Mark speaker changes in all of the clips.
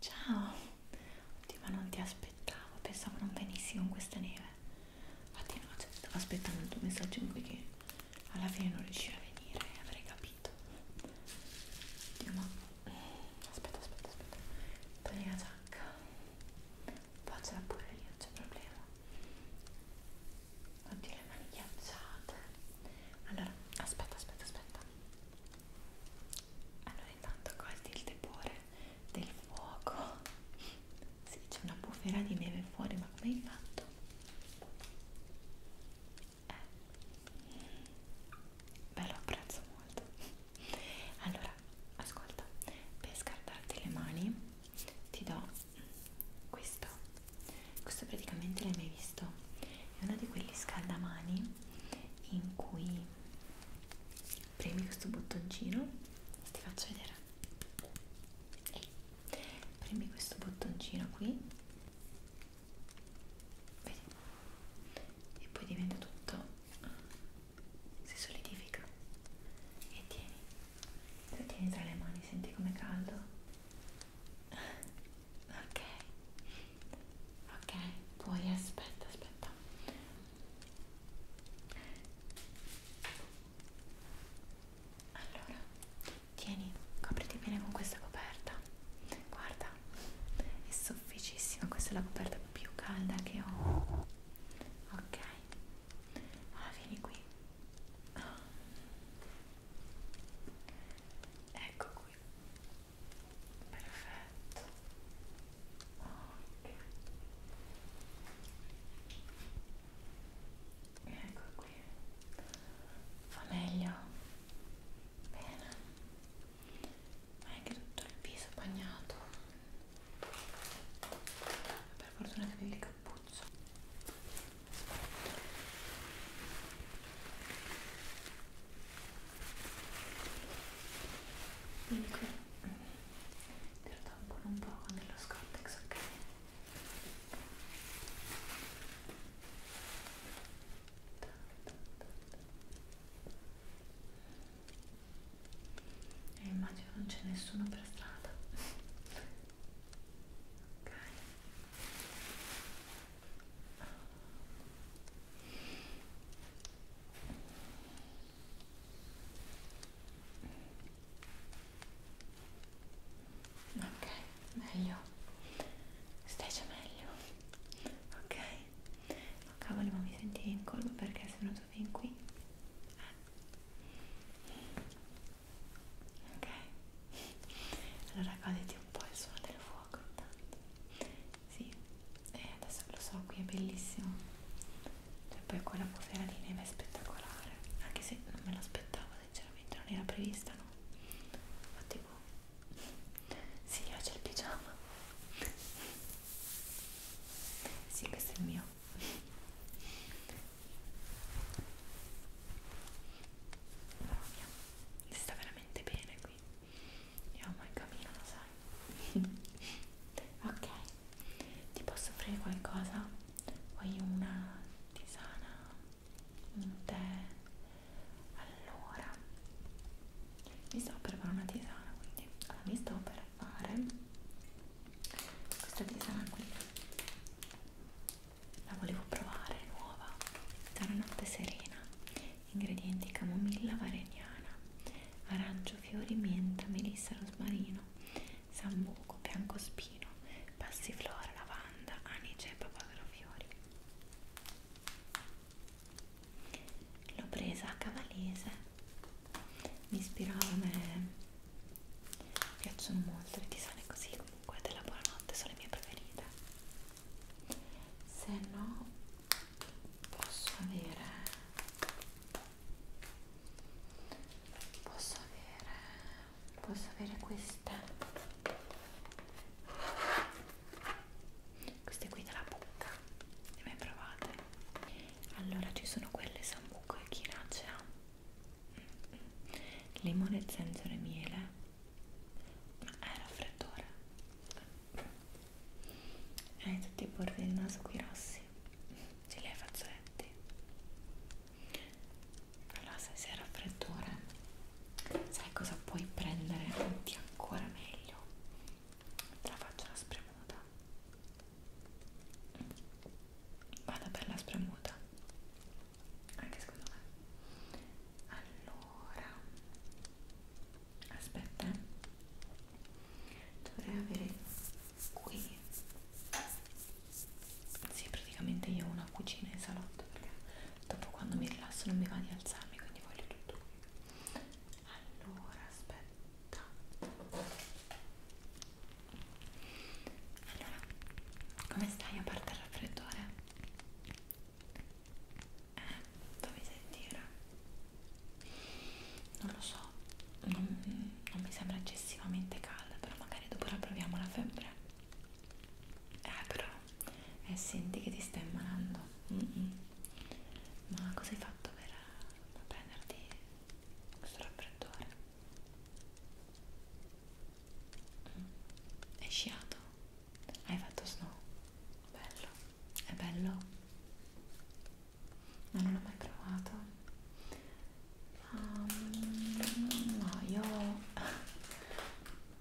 Speaker 1: Ciao, oddio ma non ti aspettavo, pensavo non venissi con questa neve. Infatti no, cioè, stavo aspettando il tuo messaggio in cui che alla fine non riuscivi a venire, avrei capito. Oddio ma... Aspetta, aspetta, aspetta. Togli la giacca. Facela pure io, non c'è problema. Oddio, le mani ghiacciate. Allora, aspetta, aspetta, aspetta. Allora, intanto quasi il tepore del fuoco. Sì, c'è una bufera di neve fuori, ma come hai fatto? Eh. Beh, lo apprezzo molto. Allora, ascolta, per scaldarti le mani ti do questo questo praticamente l'hai mai visto è uno di quelli scaldamani in cui premi questo bottoncino ti faccio vedere Ehi. premi questo bottoncino qui vedi e poi diventa tutto si solidifica e tieni lo tieni tra le mani, senti com'è caldo? ok ok, poi aspetta, aspetta allora, tieni, copriti bene con questa coperta guarda, è sofficissima, questa è la coperta più calda che ho ok Ah, vieni qui. Ah. Ecco qui. Perfetto. Ok. Ecco qui. Fa meglio. Bene. Ma è anche tutto il viso bagnato. Per fortuna che mi ricordo cappuccio quindi ecco. qui te lo tampono un po' con dello scortex ok? e eh, immagino non c'è nessuno per strada ok, meglio stai già meglio ok ma oh, cavolo ma mi sentivi in collo perché sono tu fin qui eh ok allora goditi un po' il suono del fuoco intanto sì e eh, adesso lo so qui è bellissimo e cioè, poi quella bufera di neve è spettacolare anche se non me l'aspettavo sinceramente non era prevista no ma tipo boh. sì, oggi c'è il pigiama sì, questo è il mio Mamma mia, si sta veramente bene qui. Io ho mai capito, lo sai. ok, ti posso offrire qualcosa? Vuoi una tisana? Un tè? Allora, mi sto per fare una tisana, quindi allora, mi sto per fare questa tisana qui la volevo provare nuova da una notte serena ingredienti camomilla vareniana arancio fiori menta melissa rosmarino sambuco biancospino passiflora lavanda anice e papagarofiori l'ho presa a cavalese mi ispirava a me mi piacciono molto le tisane così comunque della buonanotte sono le mie preferite se no posso avere posso avere posso avere queste queste qui della bocca le mai provate? allora ci sono quelle sambuco e chinacia limone, zenzero e miele ma è raffreddore hai tutti i bordi del naso qui rossi ce li hai fazzoletti allora se sei raffreddore sai cosa puoi prendere? Ti ancora meglio te la faccio una spremuta vada bella spremuta anche secondo me allora aspetta eh. dovrei avere qui sì praticamente io ho una cucina in salotto perché dopo quando mi rilasso non mi va di alzarmi quindi voglio tutto qui allora aspetta allora, come stai a parte il raffreddore? Eh, fammi sentire. Non lo so, non, non mi sembra eccessivamente calda, però magari dopo la proviamo la febbre. Eh, però, eh, senti che ti stai ammalando. Mm -mm. Ma cosa hai fatto per, eh, per prenderti questo raffreddore? Hai sciato? Hai fatto snow? Bello, è bello? No, non l'ho mai provato. Um, no, io...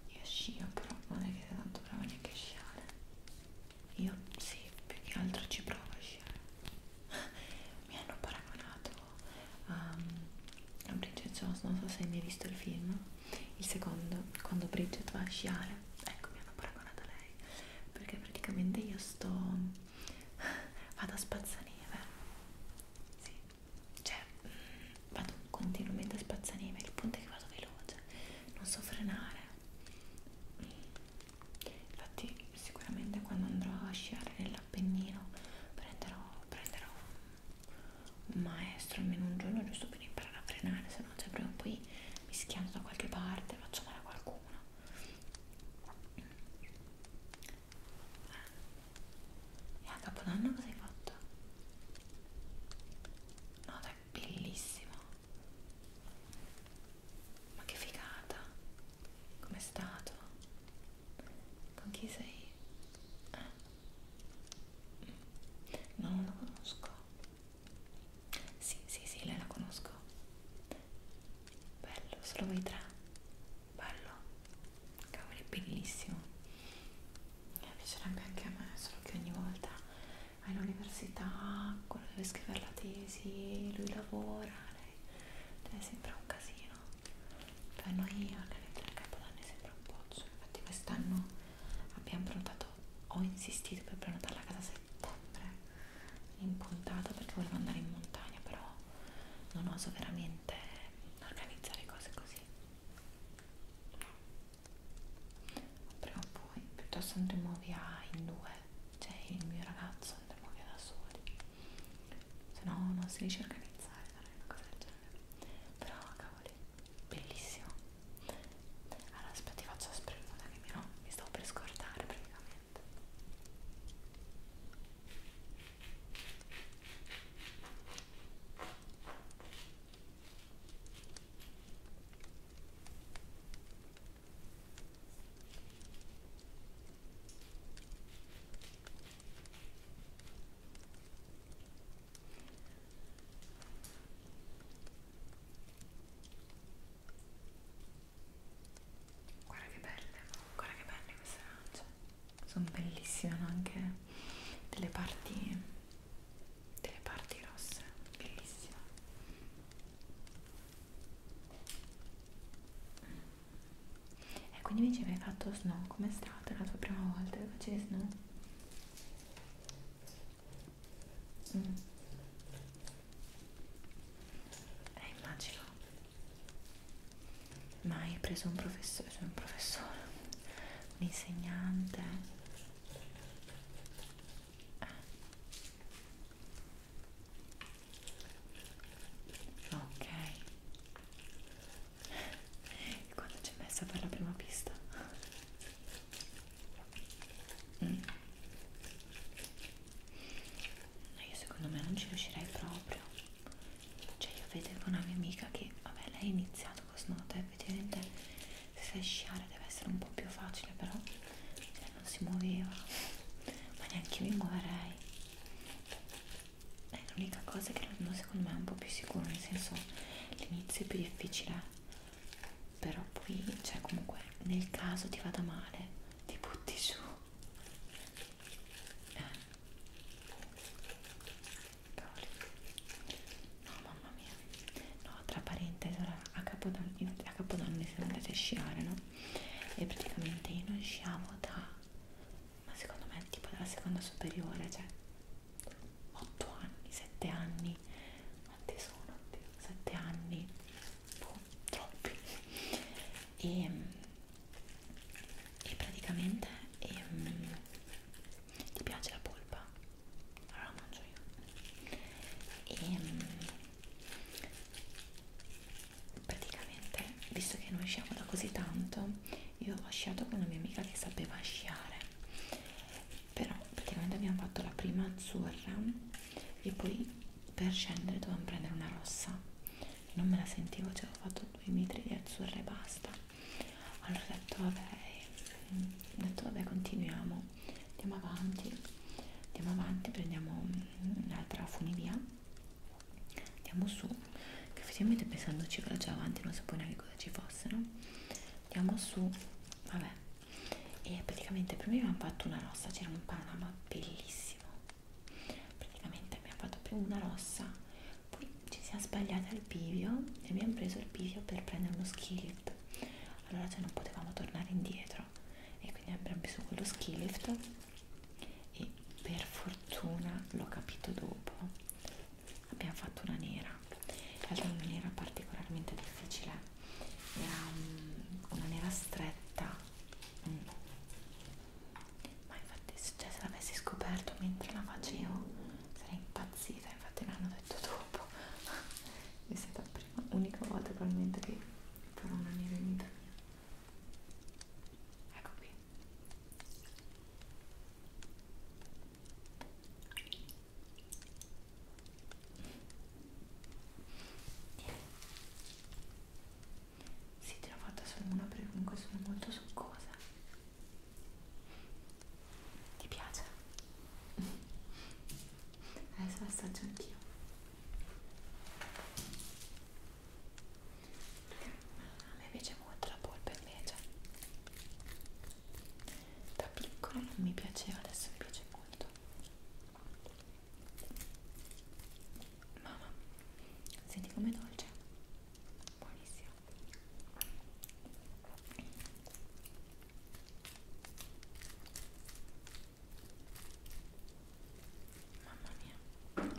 Speaker 1: Io scio, però non è che sia tanto brava neanche a sciare. Io sì, più che altro ci provo a sciare. Mi hanno paragonato um, a Bridget Jones, non so se hai mai visto il film, il secondo, quando Bridget va a sciare, ecco mi hanno paragonato a lei, perché praticamente io sto, vado a spazzaneve, sì, cioè mm, vado continuamente a spazzaneve, il punto è che vado veloce, non so frenare, infatti sicuramente quando andrò a sciare nell'Appennino prenderò, prenderò un maestro almeno un giorno giusto per imparare a frenare, se no cioè, prima o poi mi schianto da qualche parte, faccio male a qualcuno. E a Capodanno cosa hai fatto? No, dai, bellissimo. Ma che figata! Com'è stato? Con chi sei? Eh? Ah. No, non la conosco. Sì, sì, sì, lei la conosco. Bello, solo voi tre. Bello. Cavoli, bellissimo. Mi piacerebbe anche a me, solo che ogni volta all'università, quello deve scrivere la tesi, lui lavora, lei, lei sembra un casino per noi organizzare il Capodanno sembra un bozzo infatti quest'anno abbiamo prenotato ho insistito per prenotarla a casa a settembre in puntata perché volevo andare in montagna però non oso veramente organizzare cose così prima o poi piuttosto andremo via in due cioè il mio ragazzo andremo via da soli se no non si riesce a organizzare non una cosa del genere però cavoli bellissimo allora aspetta ti faccio la spremuta che mi, no, mi stavo per scordare praticamente Guarda che belle, guarda che belle queste arance. Sono bellissime anche delle parti delle parti rosse, bellissime. Mm. E quindi mi dicevi hai fatto snow, com'è stata la tua prima volta che facevi snow? Mm. Eh, immagino. Ma hai preso un professore, cioè un professore, un insegnante? Eh ok e quando ci hai messo per la prima pista? Mm. io secondo me non ci riuscirei proprio cioè io vedevo una mia amica che vabbè lei ha iniziato con Snowdrop effettivamente se sai sciare deve essere un po' più facile però cioè, non si muoveva ma neanche io mi muoverei è l'unica cosa che l'anno secondo me è un po' più sicuro nel senso l'inizio è più difficile però poi cioè comunque nel caso ti vada male ti butti su eh. Cavoli. no mamma mia no tra parentesi ora a capodanno, a capodanno mi sono andata a sciare no e praticamente io non sciavo da ma secondo me tipo nella seconda superiore, cioè 8 anni, 7 anni, quanti sono? 7 anni, boh, troppi. E, ehm, e praticamente e, ehm, ti piace la polpa? Allora la mangio io. E, ehm, praticamente visto che noi sciamo da così tanto io ho sciato con una mia amica che sapeva sciare però praticamente abbiamo fatto la prima azzurra e poi per scendere dovevamo prendere una rossa non me la sentivo cioè ho fatto due metri di azzurra e basta allora ho detto vabbè mm, ho detto vabbè continuiamo andiamo avanti andiamo avanti prendiamo mm, un'altra funivia andiamo su che effettivamente pensandoci che già avanti non sapevo neanche cosa ci fosse no? andiamo su vabbè e praticamente per me mi hanno fatto una rossa c'era un panorama bellissimo praticamente mi ha fatto più una rossa poi ci siamo sbagliati al bivio e abbiamo preso il bivio per prendere uno skillet allora cioè non potevamo tornare indietro e quindi abbiamo preso quello skillet e per fortuna l'ho capito dopo abbiamo fatto una nera in realtà non era particolarmente difficile era um, una nera stretta mm. ma infatti cioè, se l'avessi scoperto mentre la facevo sarei impazzita infatti me l'hanno detto dopo è stata la prima unica volta probabilmente che farò una nera in vita mia ecco qui sì te l'ho fatta solo una perché comunque sono molto succosa ti piace? adesso assaggio anch'io a me piace molto la polpa invece da piccola non mi piaceva adesso mi piace molto mamma senti com'è dolce buonissimo Mamma mia.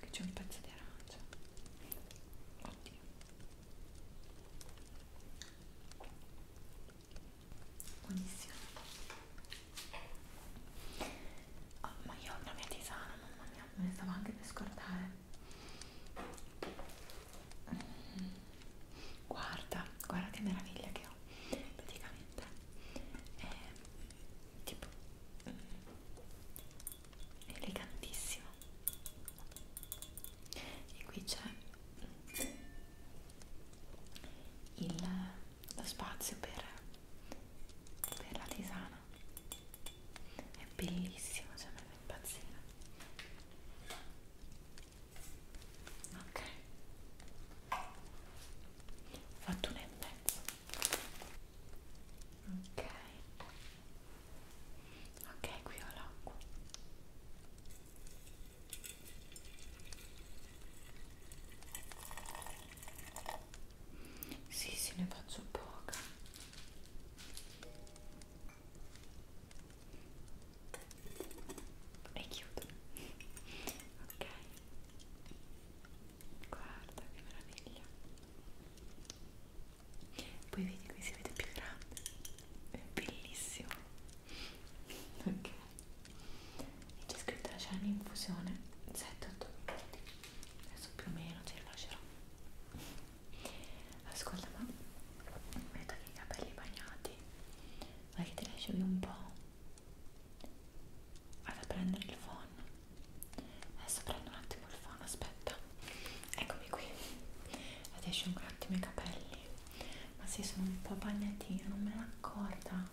Speaker 1: Che c'è un pezzo di arancia. Oddio buonissimo oh, ma io ho una mia tisana mamma mia me ne stavo anche per scordare mm. guarda guarda che meraviglia che ho praticamente è tipo è mm, elegantissimo e qui c'è il, lo spazio per, per la tisana è bellissimo cioè mi fa impazzire ok ho fatto un e mezzo ok ok qui ho l'acqua sì, sì, ne faccio poca. E chiudo. Ok. Guarda che meraviglia. Poi vedi qui si vede più grande è bellissimo ok e c'è scritto c'è un'infusione 7-8 minuti adesso più o meno ce la lascerò ascolta ma vedo che i capelli bagnati ma che ti lasciavi un po' vado a prendere il phone adesso prendo un attimo il phone aspetta eccomi qui adesso un attimo i capelli ma sì sono un po' bagnatina non me l'ho accorta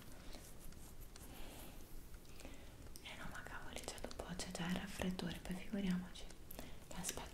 Speaker 1: eh no ma cavoli cioè dopo c'è già il raffreddore poi figuriamoci eh, aspetta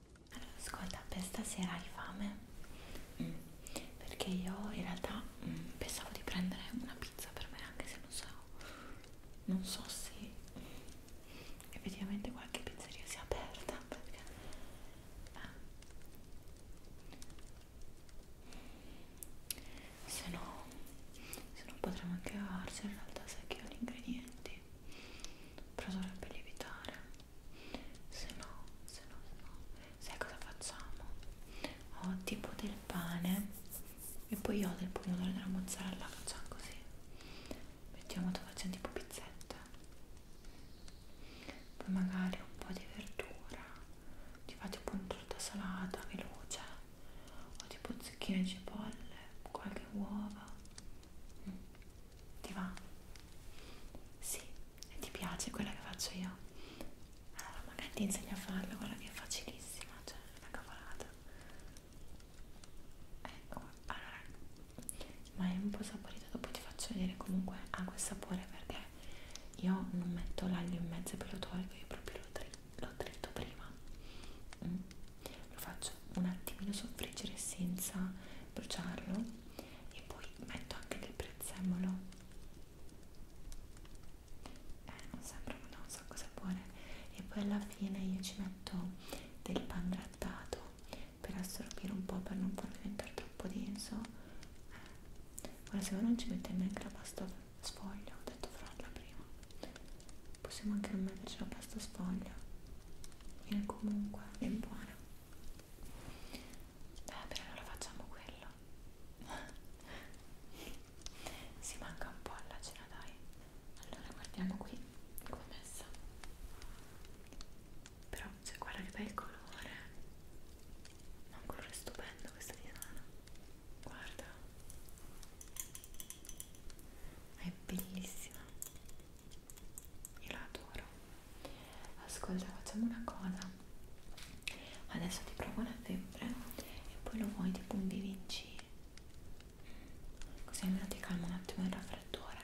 Speaker 1: Allora, ascolta, per stasera hai fame? Mm. Perché io in realtà mm, pensavo di prendere una pizza per me, anche se non so, non so se effettivamente qualche pizzeria sia aperta. Perché... Eh. Se no, se no potremmo anche farci in realtà sai che ho gli ingredienti però dovrebbe lievitare se no, se no, se no, sai cosa facciamo? Ho tipo del pane e poi ho del pomodoro e della mozzarella, facciamo così. Mettiamo facciamo tipo pizzetta. Poi magari un po' di verdura, ti fate appunto tutta salata, veloce, o tipo zucchine e cipolle, qualche uova. Mm. Ti va? Sì, e ti piace quella che faccio io allora magari ti insegno a farla quella che è facilissima cioè una cavolata ecco allora ma è un po' saporito dopo ti faccio vedere comunque ha quel sapore perché io non metto l'aglio in mezzo e poi lo tolgo io proprio lo, tri lo trito prima mm. lo faccio un attimino soffriggere senza bruciarlo e poi metto anche del prezzemolo eh, non sembra ma non so cosa buone e poi alla fine io ci metto del pan grattato per assorbire un po' per non farlo diventare troppo denso eh. ora se voi non ci mettete neanche la pasta sfoglia ho detto farla prima possiamo anche non metterci la pasta sfoglia e comunque è buona va bene allora facciamo quello si manca un po' alla cena dai allora guardiamo qui come è messa però cioè, guarda che bel colore ma un colore stupendo questo divano guarda è bellissima io la adoro ascolta facciamo una cosa adesso ti provo la febbre e poi lo vuoi tipo un BVC così almeno ti calma un attimo il raffreddore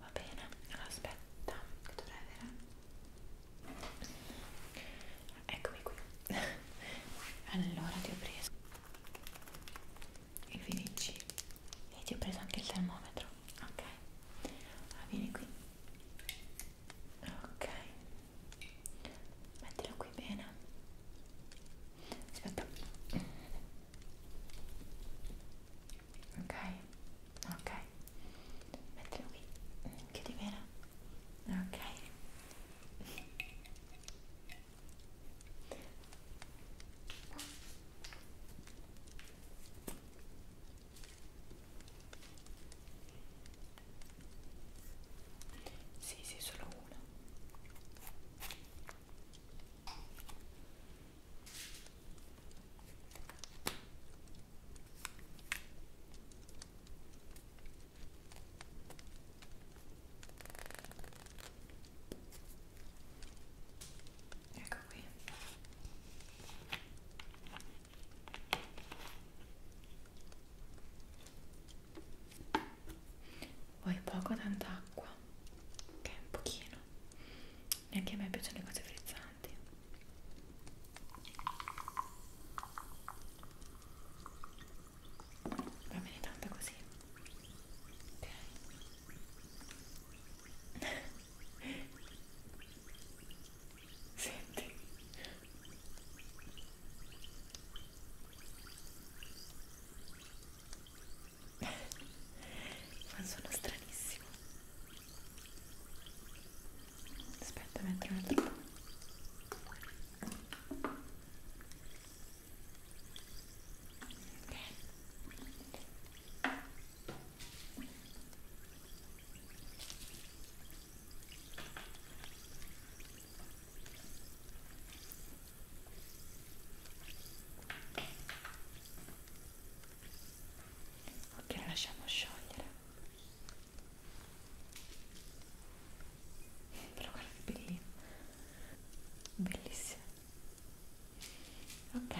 Speaker 1: va bene allora aspetta che dovrei avere eccomi qui allora ti ho preso il VVC e ti ho preso anche il termometro ok allora ah, vieni qui ok mettilo qui bene aspetta ok ok mettilo qui chiudi bene ok sì, sì, solo una. Ecco qui. Vuoi poco tanta acqua? Ok, un pochino. Neanche a me piacciono le cose frizzanti. Va bene tanto così. Ok. Senti. Fa un suono stranissimo. Aspetta, metto un altro po'. Okay. Ok, lo lasciamo sciogliere. Però guarda che bellino. Bellissimo. Ok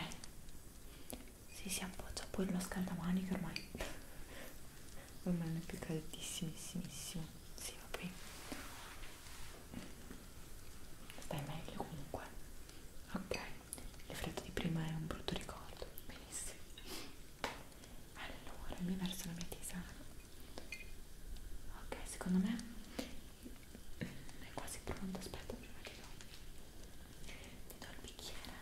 Speaker 1: si si appoggia poi lo scaldamani che ormai ormai è più caldissimissimo si va bene stai meglio comunque ok il freddo di prima è un brutto ricordo benissimo allora mi verso la mia tisana ok secondo me è quasi pronto aspetta prima che lo ti do il bicchiere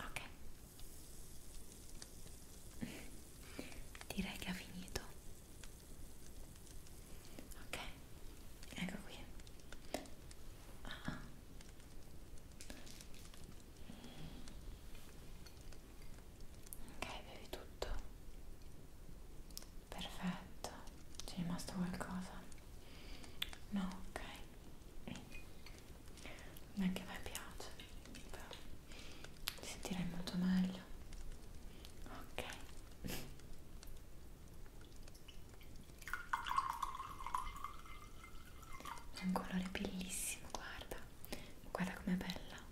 Speaker 1: ok direi che ha finito ok ecco qui Ah. Ok, bevi tutto. Perfetto. C'è rimasto qualcosa? No, ok. Non è che a me piace, però ti sentirai molto meglio. Ok. È un colore bellissimo, guarda. Guarda com'è bella.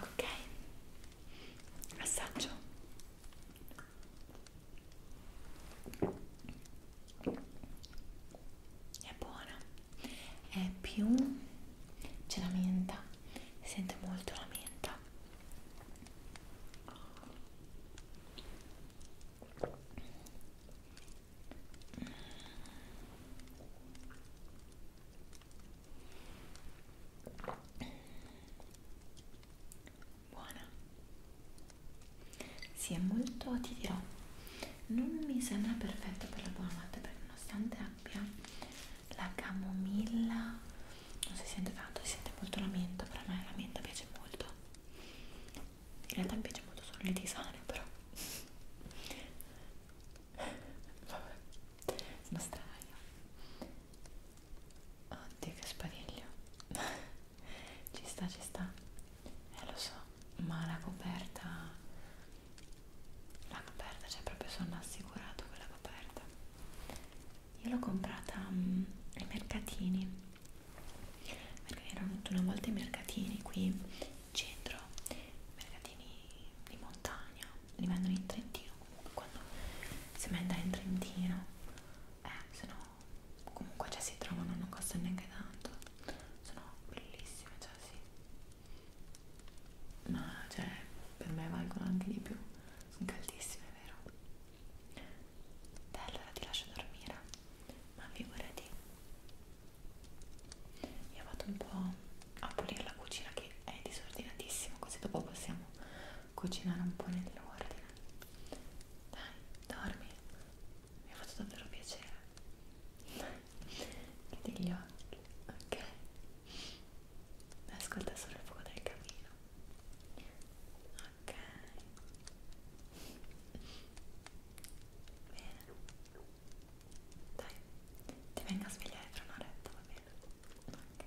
Speaker 1: Ok. Assaggio. È buona è più c'è la menta si sente molto la menta buona si sì, è molto ti dirò non mi sembra perfetto per la buona notte perché nonostante abbia la camomilla non si sente tanto, si sente molto la menta, però a me la menta piace molto in realtà mi piace molto solo le tisane però vabbè sono strana oddio che spadiglio ci sta ci sta eh lo so ma la coperta l'hanno aperta, cioè proprio sono assicurato che l'avevo aperta io l'ho comprata um, ai mercatini perché erano venuto una volta i mercatini qui in centro mercatini di montagna li vendono in Trentino comunque quando si andare in Trentino eh, se no comunque già cioè, si trovano non costano neanche tanto sono bellissime, cioè sì ma cioè per me valgono anche di più sono caldissime, vero? Beh, allora ti lascio dormire ma figurati io vado un po' a pulire la cucina che è disordinatissima così dopo possiamo cucinare un po' nell'ordine dai, dormi mi ha fatto davvero piacere che degli occhi ok ascolta solo il fuoco del camino ok bene dai ti vengo a svegliare tra un'oretta va bene ok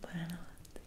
Speaker 1: buonanotte buonanotte